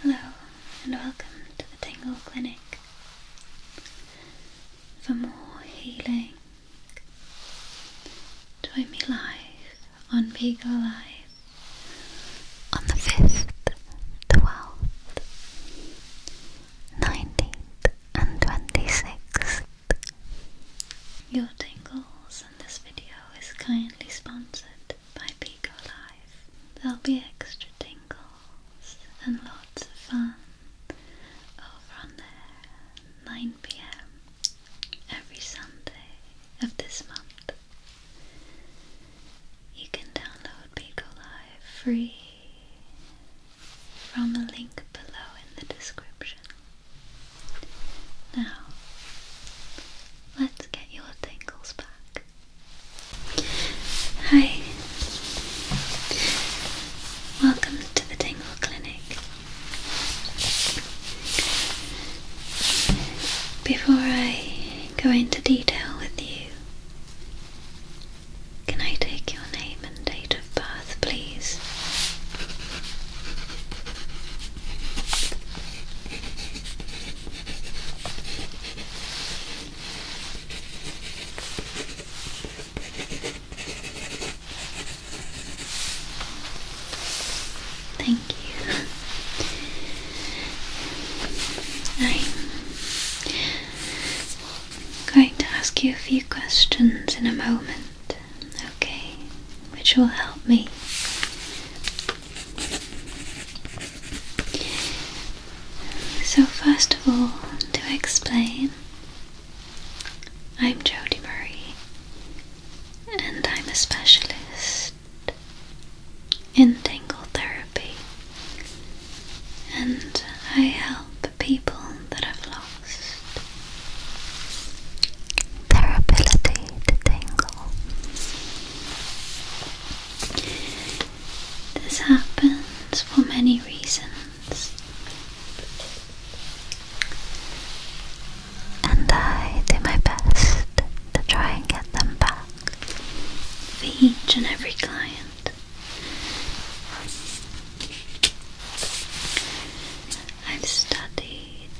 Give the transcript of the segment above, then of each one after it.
Hello and welcome to the Tingle Clinic for more healing. Join me live on Beagle Live on the 5th, 12th, 19th, and 26th. Your tingles in this video is kindly sponsored by Pico Life, there'll be extra tingles and lots of fun over on there 9pm every Sunday of this month. You can download Pico Live free from a link below in the description. Now, let's get your tingles back. Hi. Welcome to the Tingle Clinic. Before I go into detail with you, can I take your name and date of birth, please? Thank you. I'm going to ask you a few questions in a moment, okay? Which will help me so, first of all, to explain, I'm Jodie Murray, and I'm a specialist in tangle therapy, and I help people that have lost their ability to tangle. This happens for many reasons, and I do my best to try and get them back for each and every client. I've studied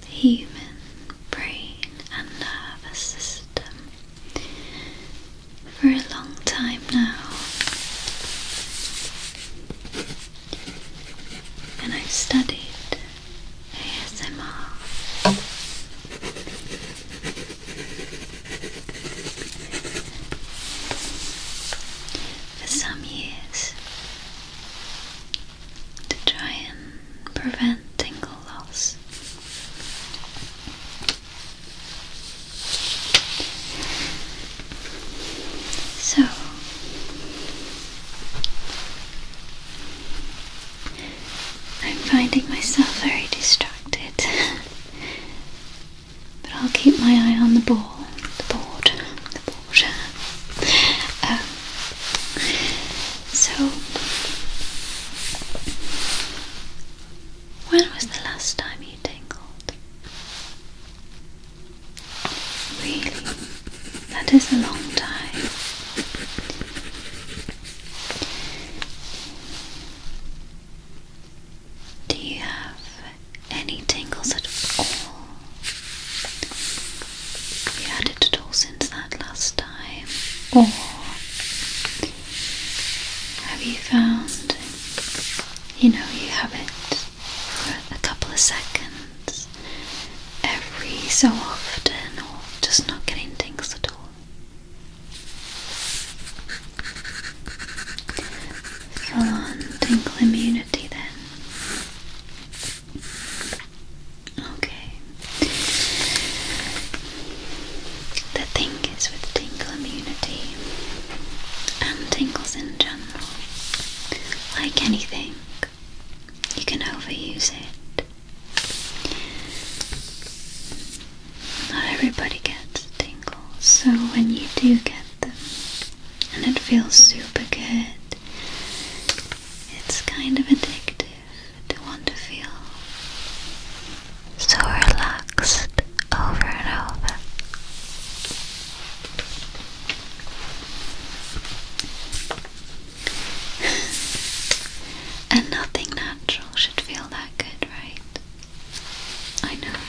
the human brain and nervous system. For a long time now, and I've studied ASMR. For some years, to try and prevent tingle loss. So, I'm finding myself very distracted, but I'll keep my eye on the ball, the board, the board. Um, so, when was the last time you tingled? Really? That is a long time. Do you have any tingles at all? Have you had it at all since that last time, or oh. have you found you know you have it for a couple of seconds every so often, or just not getting things at all? Full immunity then. Okay. The thing is with tingle immunity and tingles in general, like anything, you can overuse it. Not everybody gets tingles, so when you do get them and it feels super good, it's kind of addictive to want to feel so relaxed over and over. and nothing natural should feel that good, right? I know.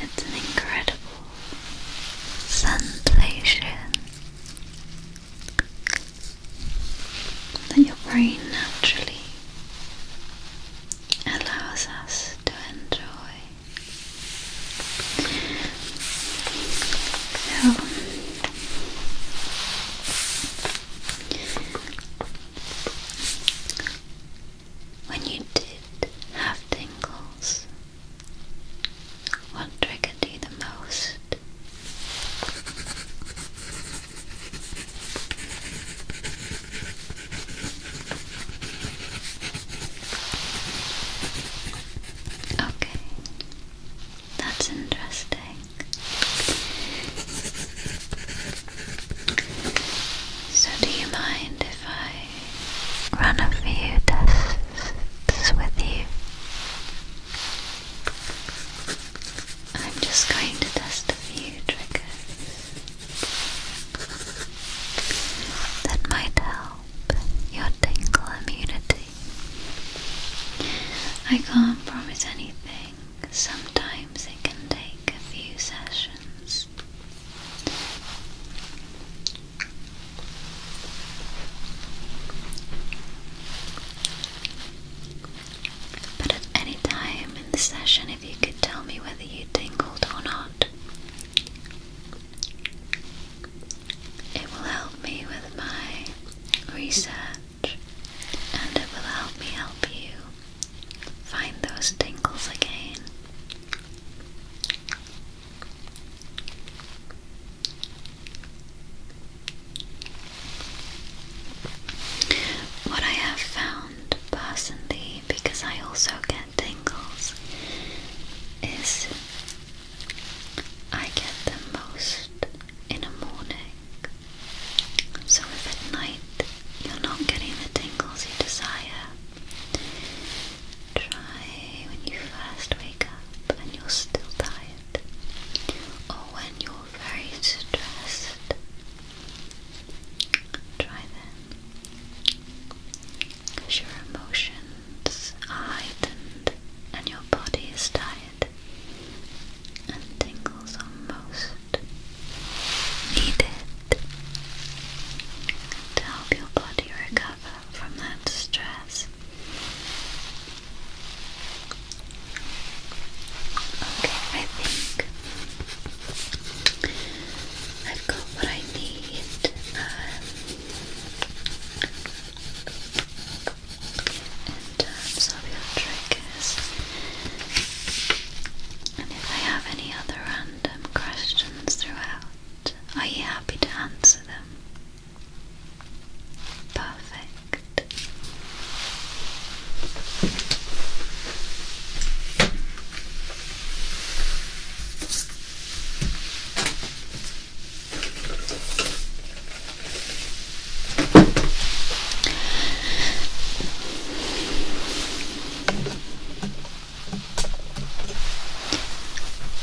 It's an incredible sensation that your brain naturally allows us to enjoy. So, when you did have tingles, what triggered you the most? Okay, that's interesting. So, do you mind if I run a few tests with you. I'm just going to test a few triggers that might help your tingle immunity. I can't promise anything, sometimes it can take a few sessions. But at any time in the session, if you could tell me whether you tingled or not, it will help me with my research and it will help me help you find those tingles again. What I have found personally, because I also get tingles, is I get them most in the morning. So if at night you're not getting the tingles you desire, Try when you first wake up and you're still tired, or when you're very stressed. Try then, because your emotions are heightened and your body is tired and tingles almost needed to help your body recover from that stress. Okay, I think I've got what I need. Um, in terms of your triggers, and if I have any other random questions throughout, are you happy to answer them? Perfect.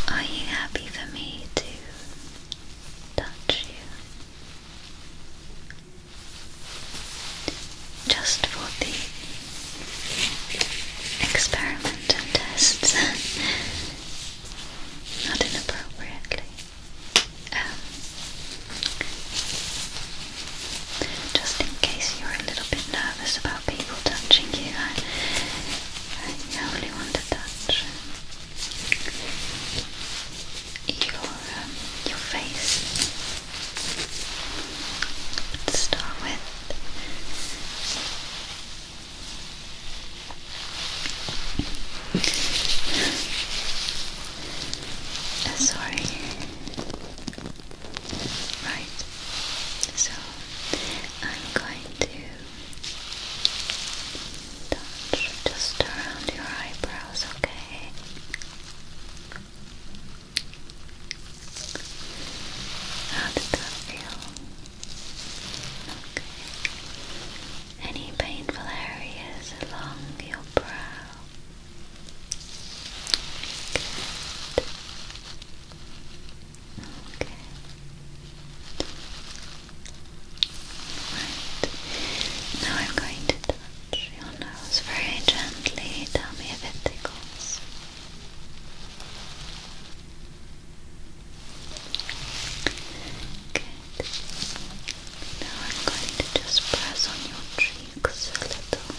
Are you happy me to touch you. Just for the experiment and tests, not inappropriately. Um, just in case you're a little bit nervous about people touching you. I, only want to touch your um, your face start with. Uh, sorry. Right. So I'm going to touch just around your eyebrows, okay? How did that feel? Okay. Any painful areas along your brow? Good. Okay. Right. Now I'm going to touch your nose very gently. Tell me if it tickles. Good. Now I'm going to just press on your cheeks a little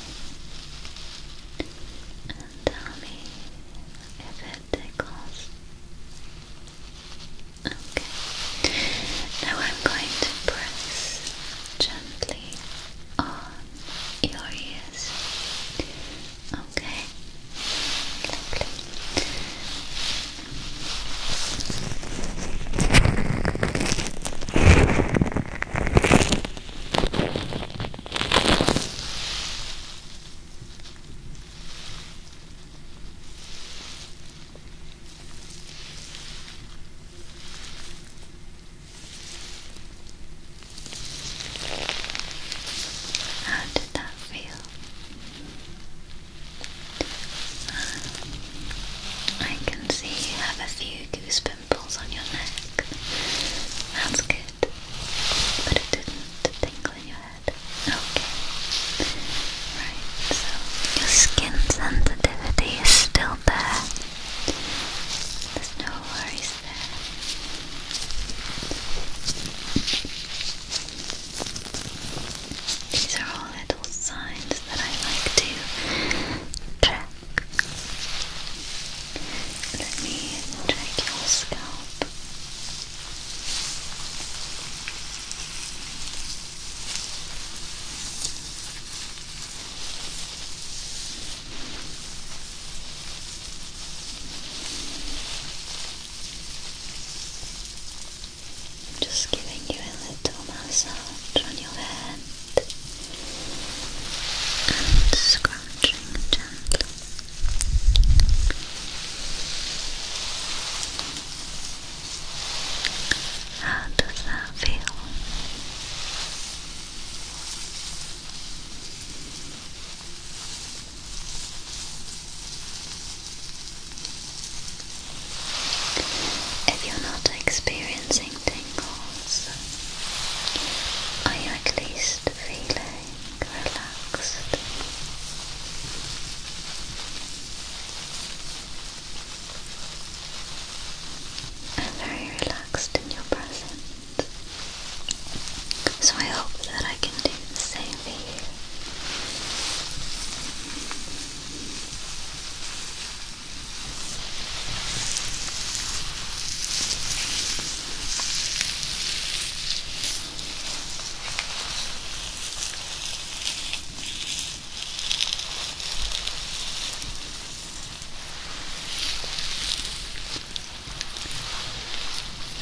and tell me if it tickles. Okay. Now I'm going to press gently on your ears. Okay. Lovely. Okay. How did that feel? I can see you have a few goose pimples on your neck. That's good it, but it didn't tingle in your head. Okay. Right, so your skin sensitivity is still there. There's no worries there. These are all little signs that I like to check. Let me check your scalp. Just giving you a little massage on your head and scratching gently. How does that feel? If you're not experiencing tingles, are you at least feeling I'm very relaxed in your presence. So I hope that I can do the same for you.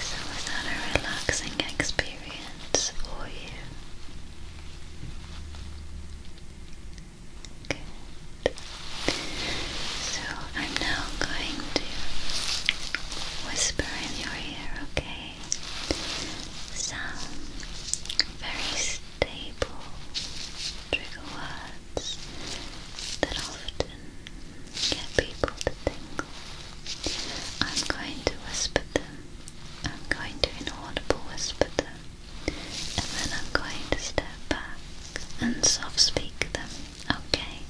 So was that a relaxing experience for you? So I'm now going to whisper in your ear, okay? Some very stable trigger words that often get people to tingle. I'm going to whisper them. I'm going to inaudible whisper them. And then I'm going to step back and soft speak them Okay.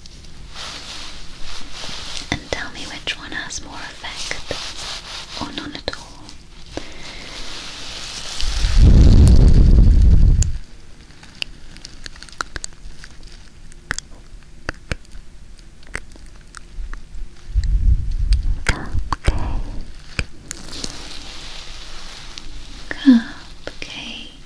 And tell me which one has more effect or none at all. Cupcake. Cupcake.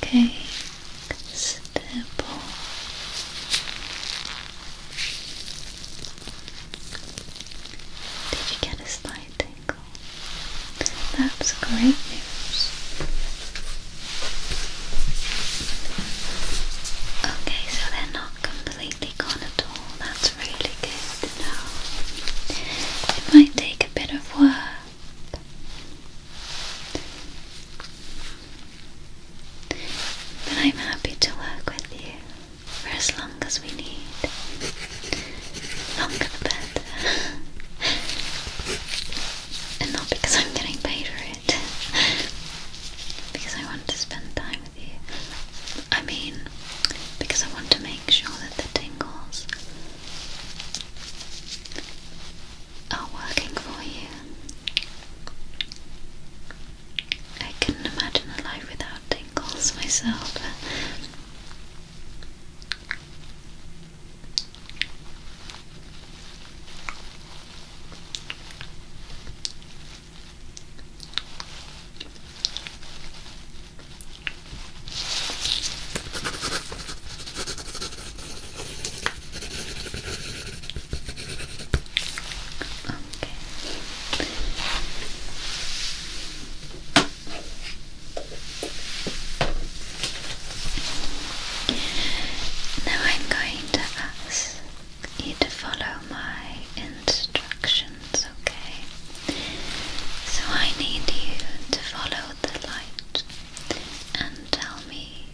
Cupcake, stipple, did you get a slight tingle? That's great news. Okay, so they're not completely gone at all. That's really good to It might take a bit of work. But I'm happy to work with you for as long as we need. Longer than better. and not because I'm getting paid for it. because I want to spend time with you. I mean, because I want to make sure that the tingles are working for you. I couldn't imagine a life without tingles myself. Now I'm going to ask you to follow my instructions, okay? So I need you to follow the light and tell me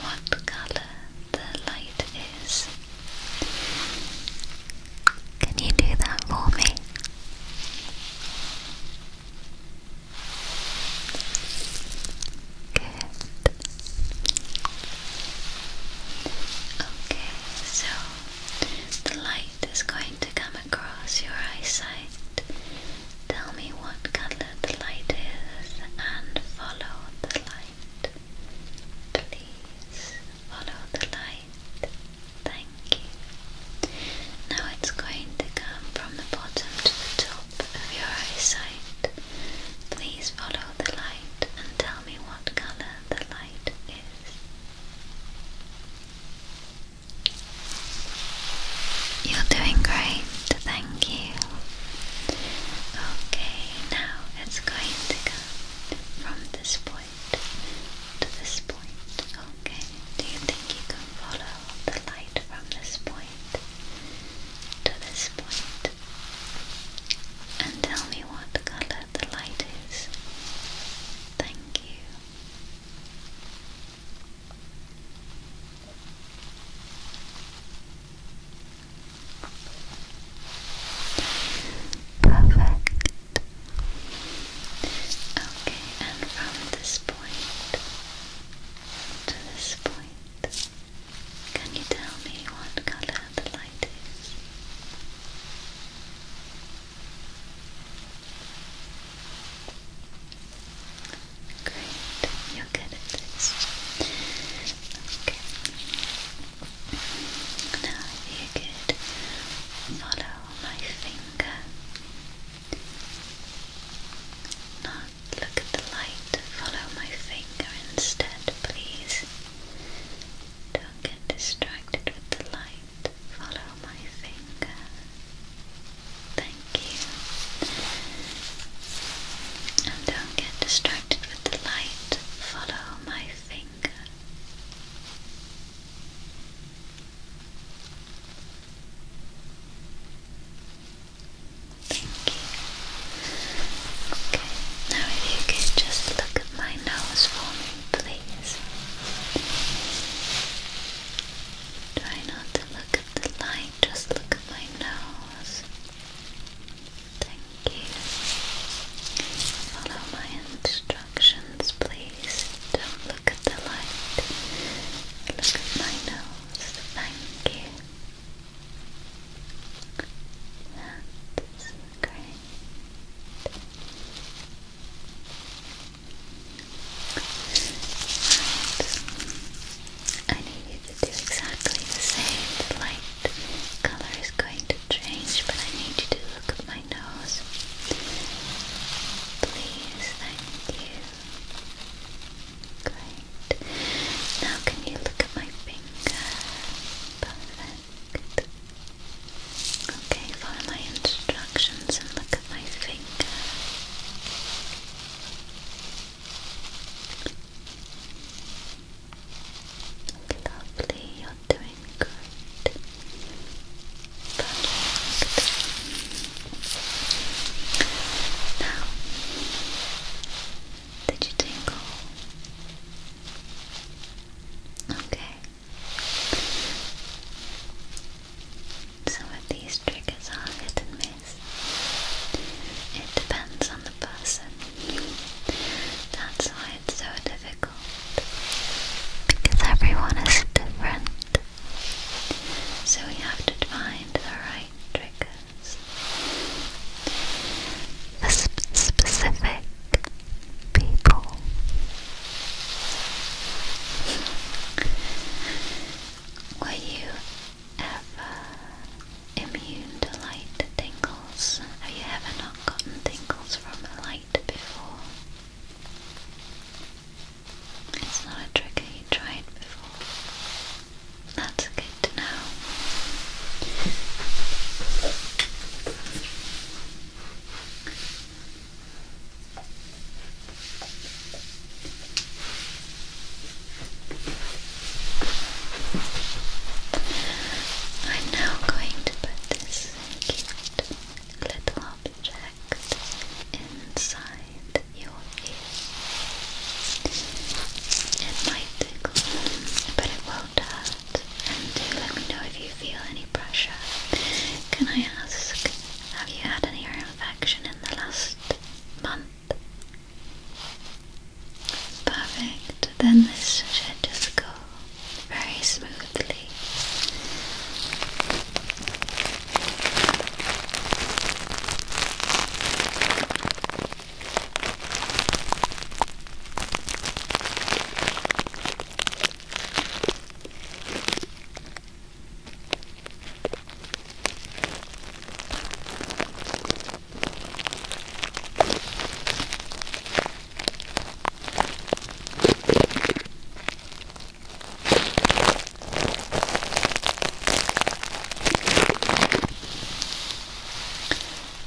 what color the light is. Can you do that for me? Good. Okay, so the light is going to come across your eyesight. Tell me what color the light is and follow the light. Please follow the light. Thank you. Now it's going to come from the bottom to the top of your eyesight. Please follow the light and tell me what color the light is. You're doing great, thank you. Okay, now it's going to go from this point to this point. Okay, do you think you can follow the light from this point to this And tell me what color the light is. Thank you. Perfect. Okay, and from this point to this point, can you tell me what color the light is? Great, you're good at this. Now you could follow my finger. Not look at the light, follow my finger instead, please. Don't get distracted with the light. Follow my finger. Thank you. And don't get distracted the light follow my finger. Thank you. Okay, now if you could just look at my nose for me, please. Try not to look at the light, just look at my nose. Thank you. Follow my instructions, please. Don't look at the light. Look at my nose. Thank you. That's great. Right. I need it is exactly the same. The light color is going to change, but I need you to look at my nose. Please, thank you. Great. Now, can you look at my finger? Perfect. Okay, follow my instructions and look at my finger. Lovely, you're doing good. Now, did you tingle? Okay. Some of these triggers are hit it depends on the person. That's why it's so difficult. Because everyone is different. So we have to find the right triggers. The specific people. Were you ever immune to light tingles? Have you ever not gotten tingles from a light before? It's not a trigger you tried before. That's good to know. I'm now going to put this cute little object inside your ear. It might tickle, but it won't hurt. And do let me know if you feel any pressure. Can I ask, have you had an ear infection in the last month? Perfect. Then this should just go very smoothly.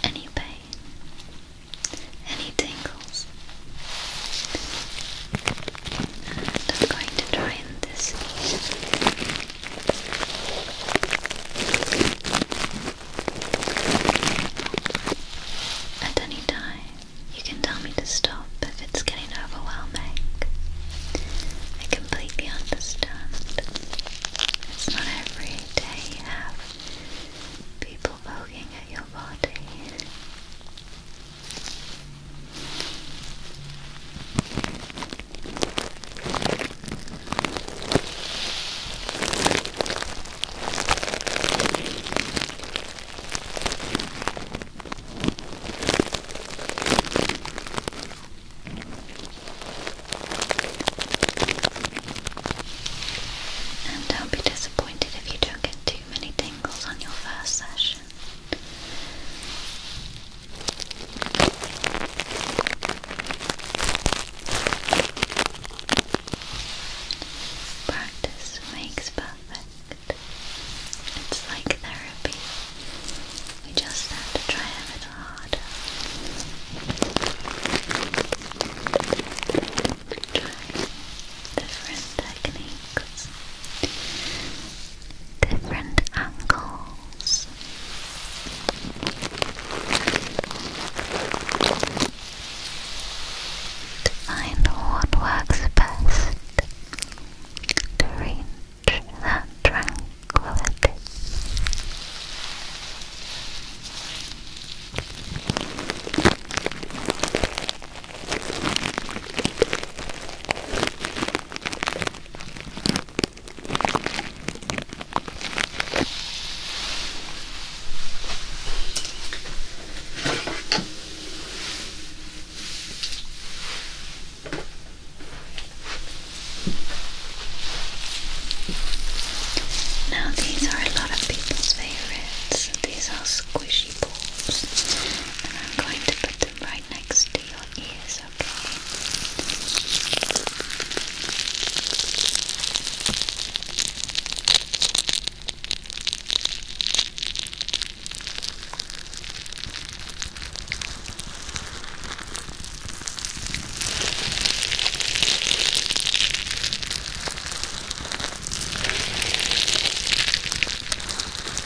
Any pain? Any tingles? I'm going to try in this at any time, you can tell me to stop if it's getting overwhelming. I completely understand. It's not every day you have people poking at your body. And don't be disappointed if you don't get too many tingles on your first session. Practice makes perfect. It's like therapy. We just have to try a little harder. Try different techniques different angles. To find what works best to reach that tranquility. Now, these are a lot of people's favorites. These are squishy balls, and I'm going to put them right next to your ears, okay?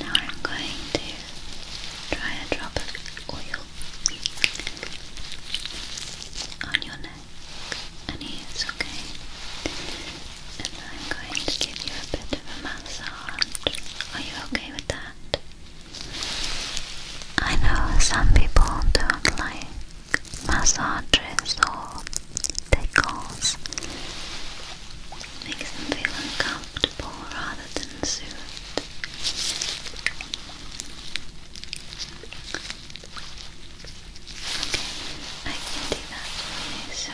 Now I'm going to try a drop of oil on your neck neck and ears, okay? And I'm going to give you a bit of a massage. Are you okay with that? I know some people don't like massages or they tickles. Makes them feel uncomfortable rather than soothed. I can do that for you, so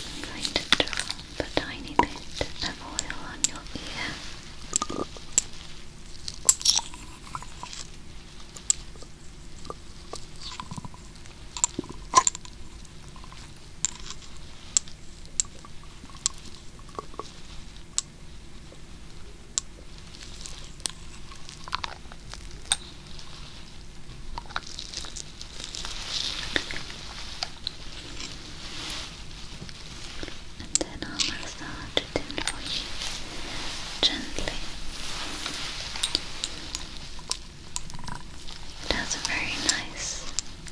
I'm going to drop a tiny bit of oil on your ear. And then I'll massage it in for you gently. It has a very nice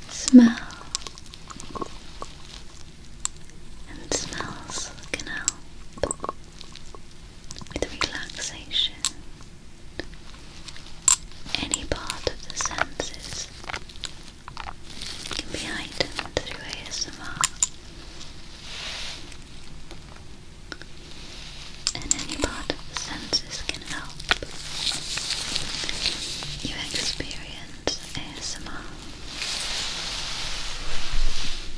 smell and smells can with relaxation. Any part of the senses can be heightened through ASMR, and any part of the senses can help you experience ASMR.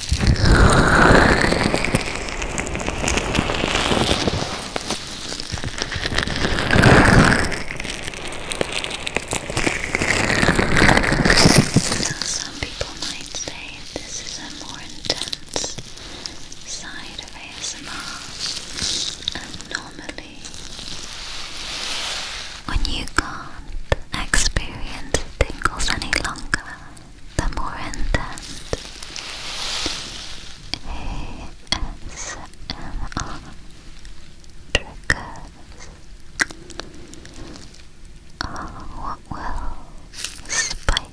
Now, some people might say this is a more intense side of ASMR, and when you can't experience tingles any longer, the more intent ASMR triggers what will spike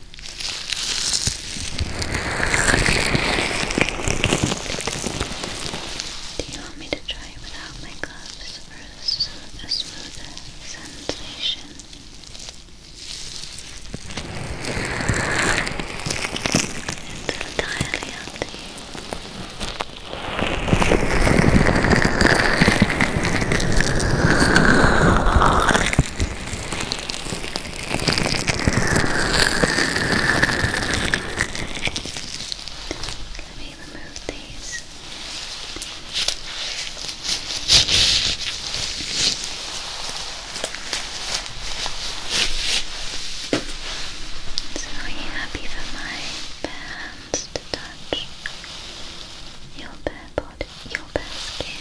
Do you want me to try without my gloves for a, smooth, a smoother sensation? It's entirely up to you. Let me remove these. So are you happy for my bare hands to touch your bare body, your bare skin?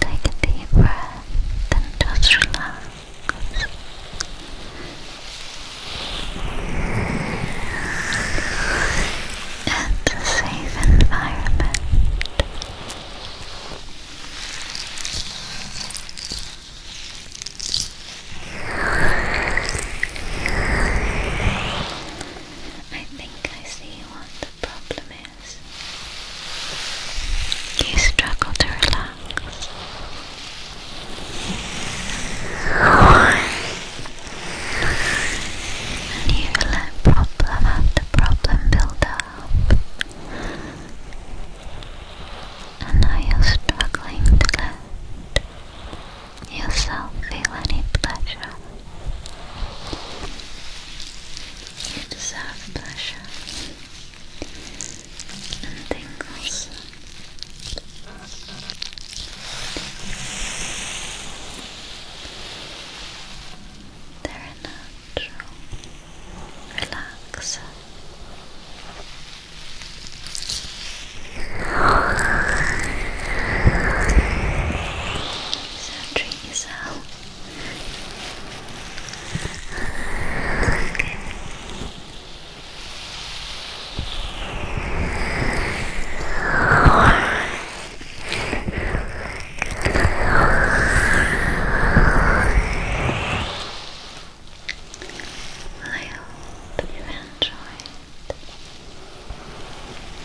Take a deep breath and just relax. It's a safe environment. I think I see what the problem is. You struggle to relax. And you let problem after problem build up. And now you're struggling to let yourself feel any pleasure. You deserve pleasure and tingles. They're natural relaxer. Centering yourself. Okay. Well, I hope you enjoyed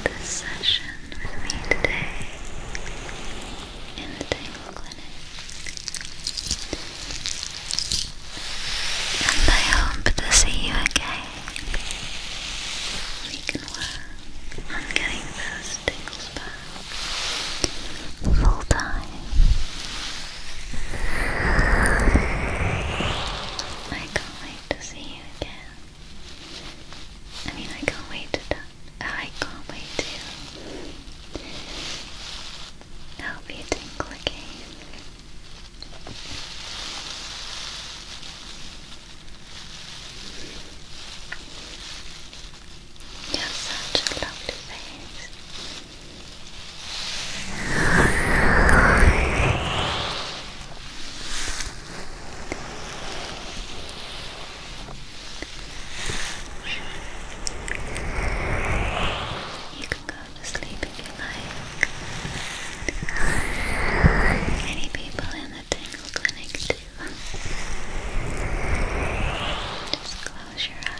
this session with me today in the Tangle Clinic. And I hope to see you again. We can work on getting those tingles back full time. I can't wait to see you again. I mean, I can't wait to done. I can't wait to help you tinkle again. You have such a lovely face. You can go to sleep if you like. Many people in the Tingle Clinic do. Just close your eyes.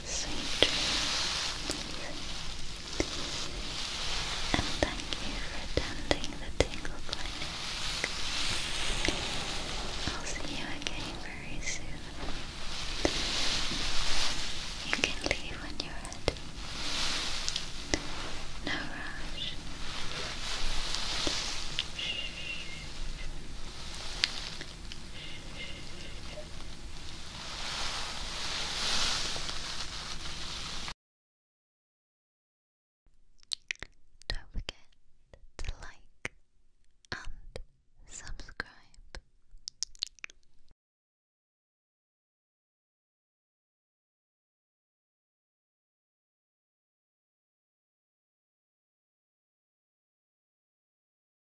sweet dreams. And thank you for attending the Tingle Clinic. I'll see you again very soon. You can leave when you're ready. No rush. Shh. Don't forget to like and subscribe.